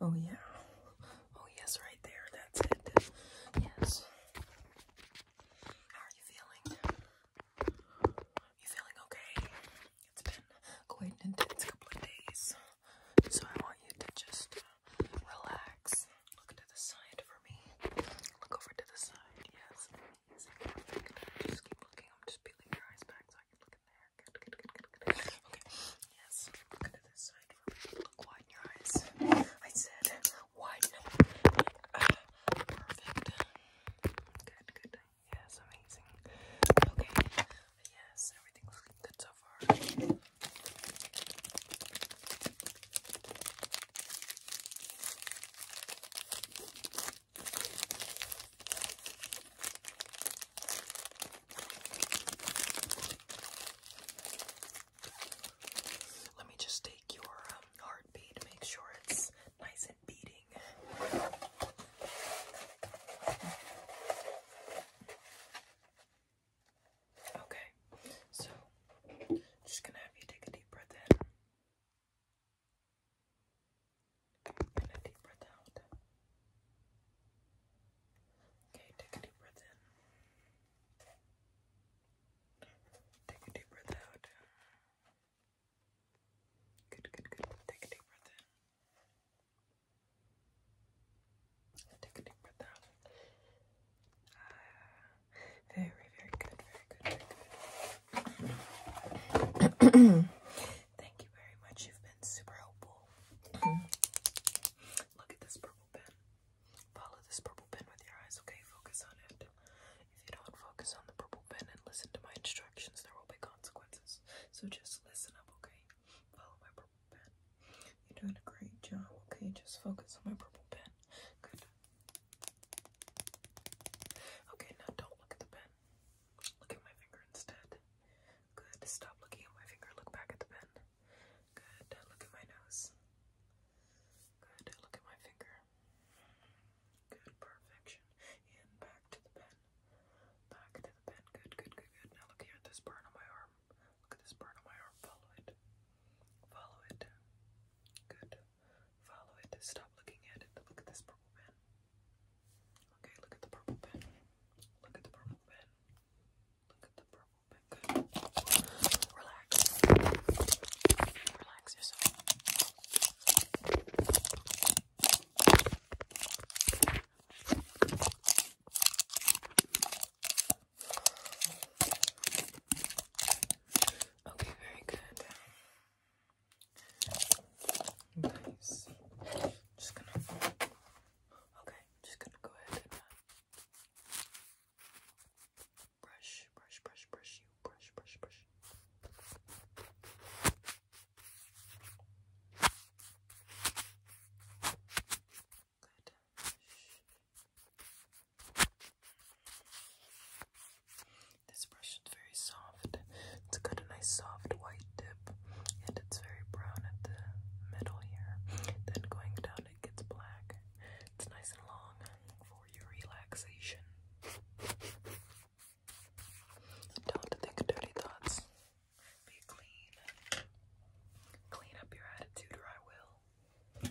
Oh, yeah. Oh, yes, right there. That's it. Yes. How are you feeling? You feeling okay? It's been quite an intense couple of days. So I want you to just uh, relax. Look to the side for me. Look over to the side. Yes. Perfect. Just keep looking. I'm just peeling your eyes back so I can look Okay. Yes. Look to this Look wide in your eyes. I said wide. perfect. Good, good. Yes, amazing. Okay. Yes, everything's looking good so far. Let me just take your um, heartbeat, make sure it's nice and beating. Okay, so just gonna have you take a deep breath in. And a deep breath out. Okay, take a deep breath in. Take a deep breath out. Good, good, good. Take a deep breath in. Take a deep breath out. Ah, very, very good, very good, very good. Thank you very much. You've super helpful. Mm-hmm. Look at this purple pen. Follow this purple pen with your eyes, okay? Focus on it. If you don't focus on the purple pen and listen to my instructions, there will be consequences. So just listen up, okay? Follow my purple pen. You're doing a great job, okay? Just focus on my purple pen. Good. Okay, now don't look at the pen. Look at my finger instead. Good. Stop looking at my finger. Look back at the pen. Good. Look at my nose. Good. Look at my finger. Good. Perfection. And back to the pen. Back to the pen. Good, good, good, good. Now look here at this burn on my arm. Look at this burn on my arm. Follow it. Follow it. Good. Follow it. Stop looking at it. Look at this purple pen. Okay, look at the purple pen. Look at the purple pen. Look at the purple pen. Relax. Relax yourself. Okay, very good. Nice. Just gonna Okay, I'm just gonna go ahead and uh, brush, brush, brush, brush you, brush, brush, brush. Good. This brush is very soft. It's got a nice soft white tip and it's very brown at the middle here. Then going down, it gets black. It's nice and long for your relaxation. Don't think dirty thoughts. Be clean. Clean up your attitude, or I will.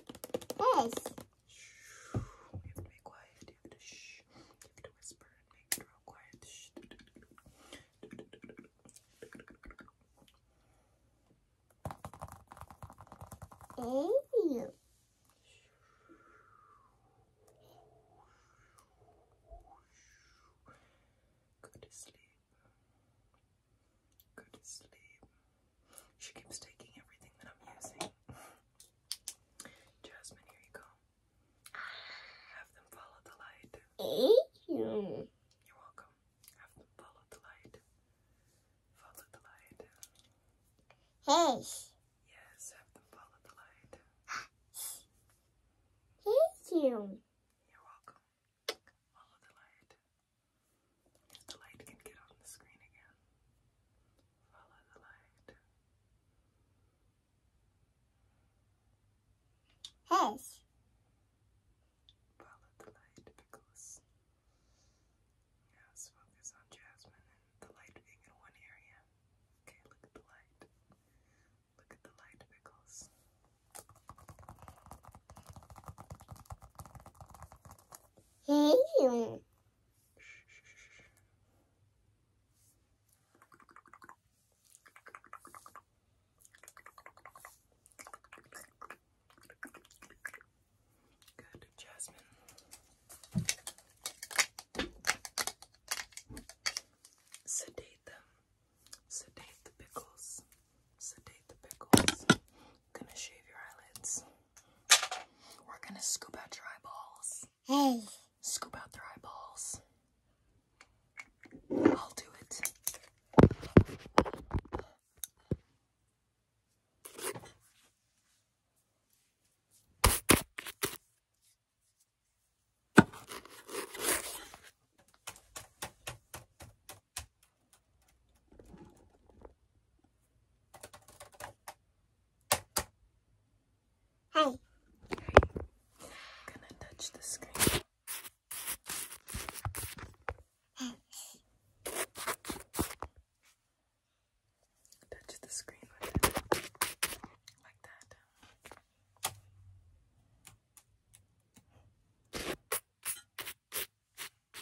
Yes. Shh. You have to be quiet. You have to shh. You have to whisper and make it real quiet. Shh. Ew. to sleep. Go to sleep. She keeps taking everything that I'm using. Jasmine, here you go. Have them follow the light. You're welcome. Have them follow the light. Follow the light. Hey. Yes, have them follow the light. Thank you. You're welcome. Follow the light. If the light can get on the screen again, follow the light. Yes. Follow the light, Pickles. Yes, focus on Jasmine the light being in one area. Okay, look at the light. Look at the light, Pickles. Hey. Good, Jasmine. Sedate them. Sedate the pickles sedate the pickles. Gonna shave your eyelids. We're gonna scoop out your eyeballs. Hey. Scoop out their eyeballs. I'll do it. Hi. Hey. gonna touch the screen. Touch the screen Like that.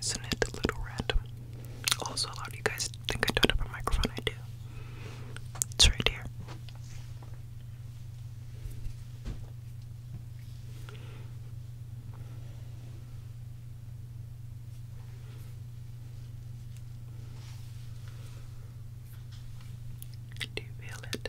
is it a little random? Also, a lot of you guys think I don't have a microphone. I do. It's right here. Do you feel it?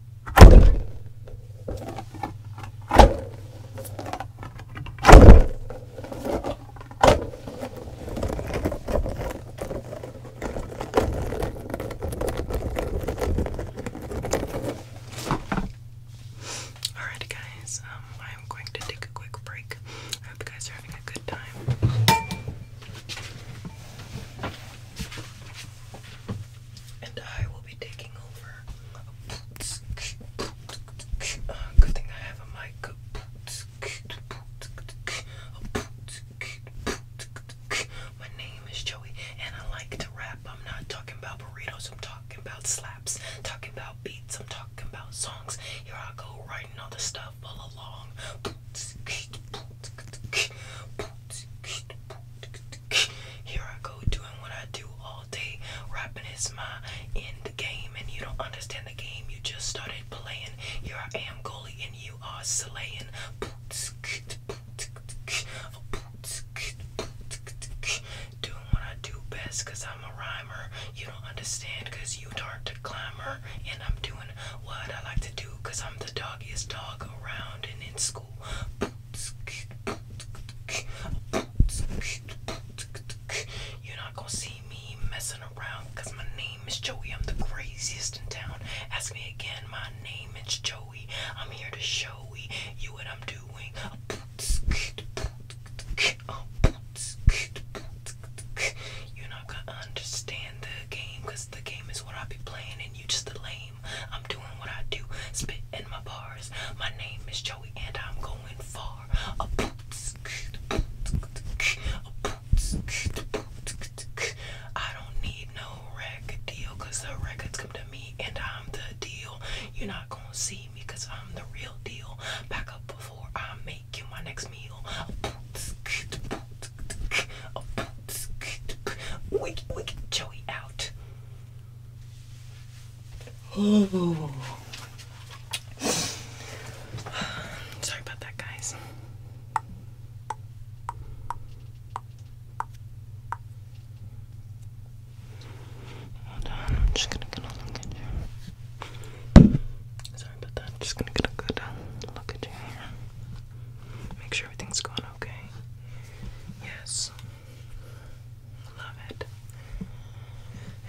Alright, guys, um, I'm going to take a quick break. I hope you guys are having a good time and I will be taking over. Uh, good thing I have a mic. My name is Joey, and I like to rap. I'm not talking about burritos, I'm talking about slaps, talking about beats, I'm talking about songs. Here I go writing all the stuff all along. Here I go doing what I do all day. Rapping is my end game, and you don't understand the game you just started playing. Here I am, goalie, and you are slaying. Doing what I do best, i I'm a rhymer. You don't understand, cause you aren't a climber, and I'm doing on what I like to do because I'm the doggiest dog around and in school. You're not gonna see me messing around because my name is Joey. I'm the craziest in town. Ask me again, my name is Joey. I'm here to show you what I'm doing. You're not gonna understand the game because the game is what I be playing and you just the lame. I'm doing what I do, spit in my bars. My name is Joey and I'm going far. A boots, a boots, I don't need no record deal, cause the records come to me and I'm the deal. You're not gonna see me cause I'm the real deal. Back up before I make you my next meal. A boots, a boots. Wake, wake, Joey out. Oh. Sorry about that, guys. Hold on, I'm just gonna get a look at you. Sorry about that, I'm just gonna get a good uh, look at you Make sure everything's going okay. Yes. Love it.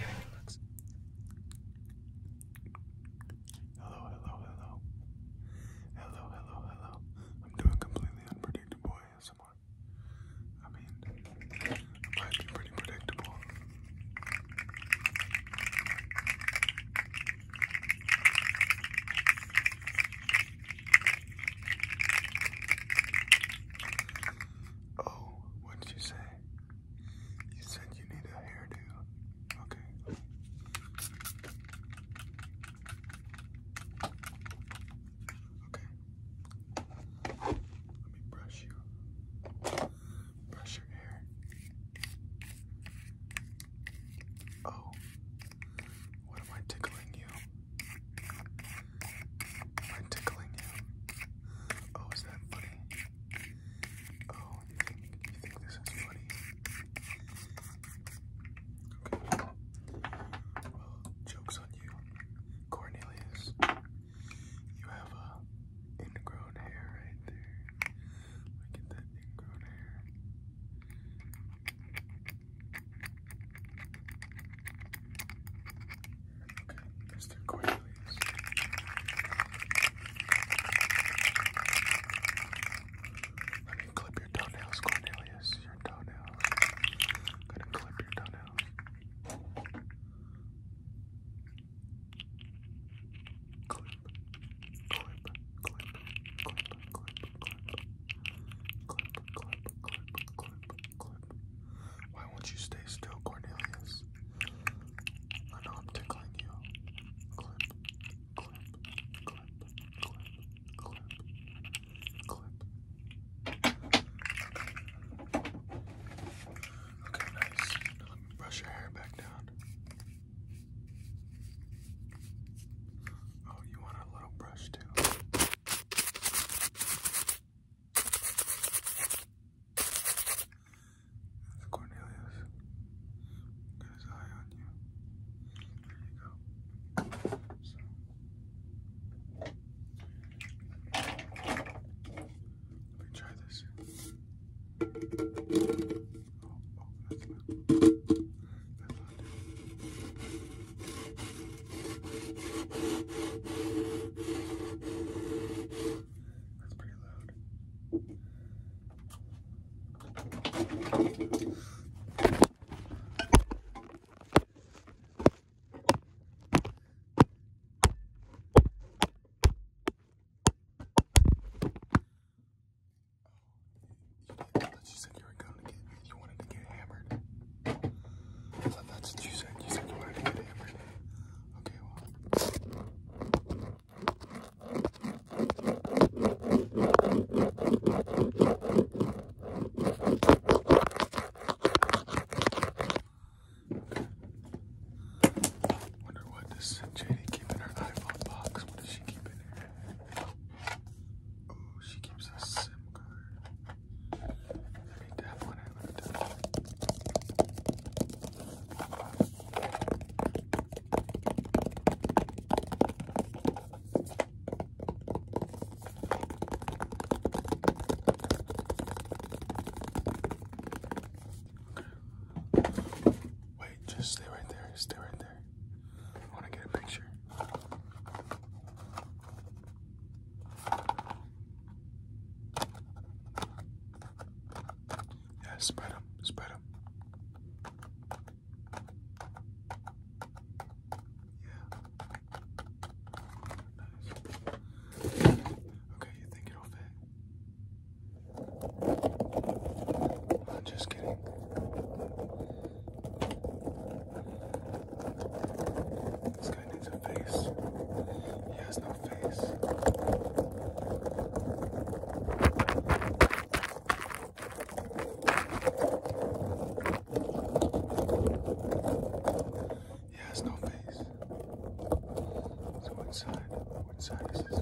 Everything looks. Hello, hello, hello. Hello, hello, hello. I'm doing completely unpredictable ASMR. I mean, might be pretty predictable. Oh, what did you say? You said you need a hairdo. Okay. Okay. Let me brush you. Brush your hair. Oh, what am I tickling you? Am I tickling you? Oh, is that funny? Oh, you think you think this is funny? Well, jokes on you, Cornelius. You have a uh, ingrown hair right there. Look at that ingrown hair. Okay, Mr. Quailey's. Let me clip your toenails, Cornelius. Your toenails. I'm gonna clip your toenails. Why won't you stay still, Cornelius? I know i tickling you. Okay, nice. let me brush your hair back down. Oh, you want a little brush too? That's Cornelius. his eye on you. There you go. Let me try this. Oh, oh, that's pretty loud. Oh, that's what you said. You said you wanted to get hammered. Okay, well. Wonder what does J.D. keep in her iPhone box? What does she keep in here? Oh, she keeps a SIM card. Let me tap on it. Let Wait, just stay right there. Stay right there. I want to get a picture. Yeah, spread them, spread them. Yeah. Okay, you think it'll fit? I'm just kidding. This guy needs a face. He has no face. He has no face. So what side? What side is his face?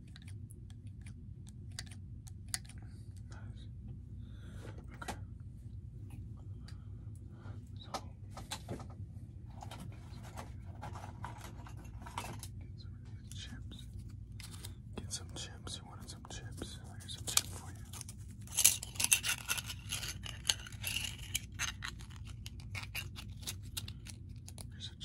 Nice. Okay. So, get some chips. Get some chips. You wanted some chips? Here's some chip for you. Oh, I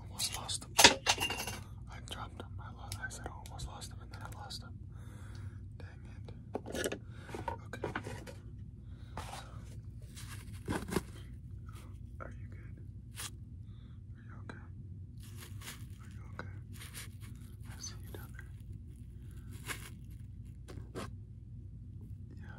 almost lost him. I dropped him. I, lost, said I almost lost him, and then I lost him. Dang it. Okay. So, are you good? Are you okay? Are you okay? I see you down there. Yeah.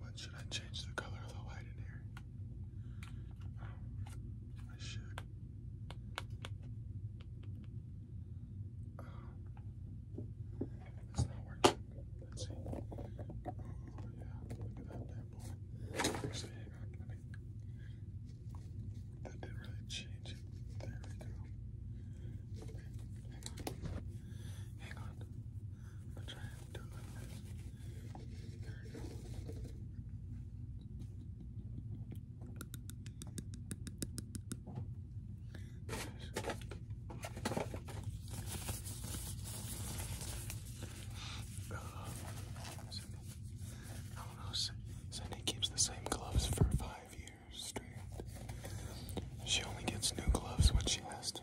What should I change the color of the light in here? Oh, I should. Um, it's not working. Let's see. Oh, yeah. Look at that bad boy. Actually, hang on. That didn't really change There we go. Hang on. Hang on. try it like There we go. Cindy keeps the same gloves for five years straight. She only gets new gloves when she has to.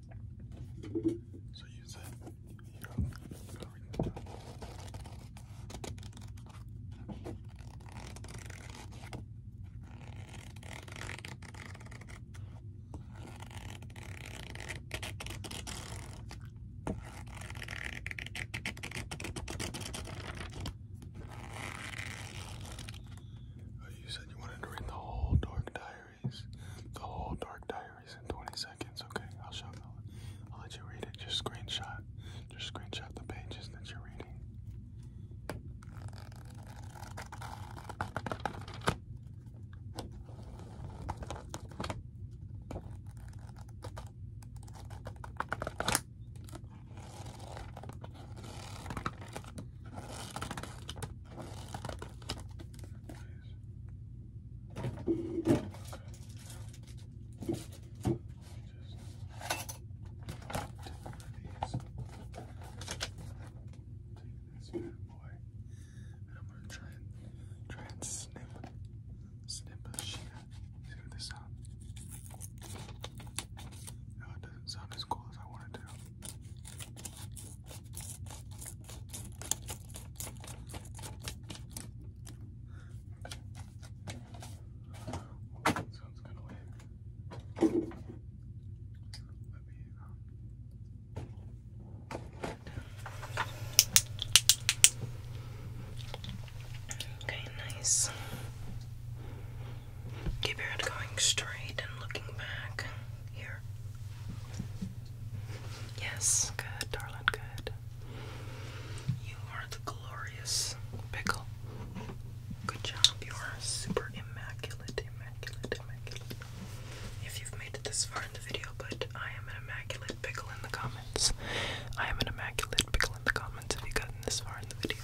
So You oh, you said you wanted to read the whole Dark Diary the whole Dark Diaries in 20 seconds. Okay, I'll show you. I'll let you read it. Just screenshot. Just screenshot the pages that you're reading. Okay. Just take these. Take this bad boy. And I'm gonna try and try and snip snip a sheet. See what this sounds. No, it doesn't sound as cool as I want to. Okay, nice. Keep your head going straight and looking back. Here. Yes, good, darling, good. You are the glorious pickle. Good job. You are super immaculate, immaculate, immaculate. If you've made it this far in the video, but I am an immaculate pickle in the comments. I am an immaculate pickle in the comments if you've gotten this far in the video.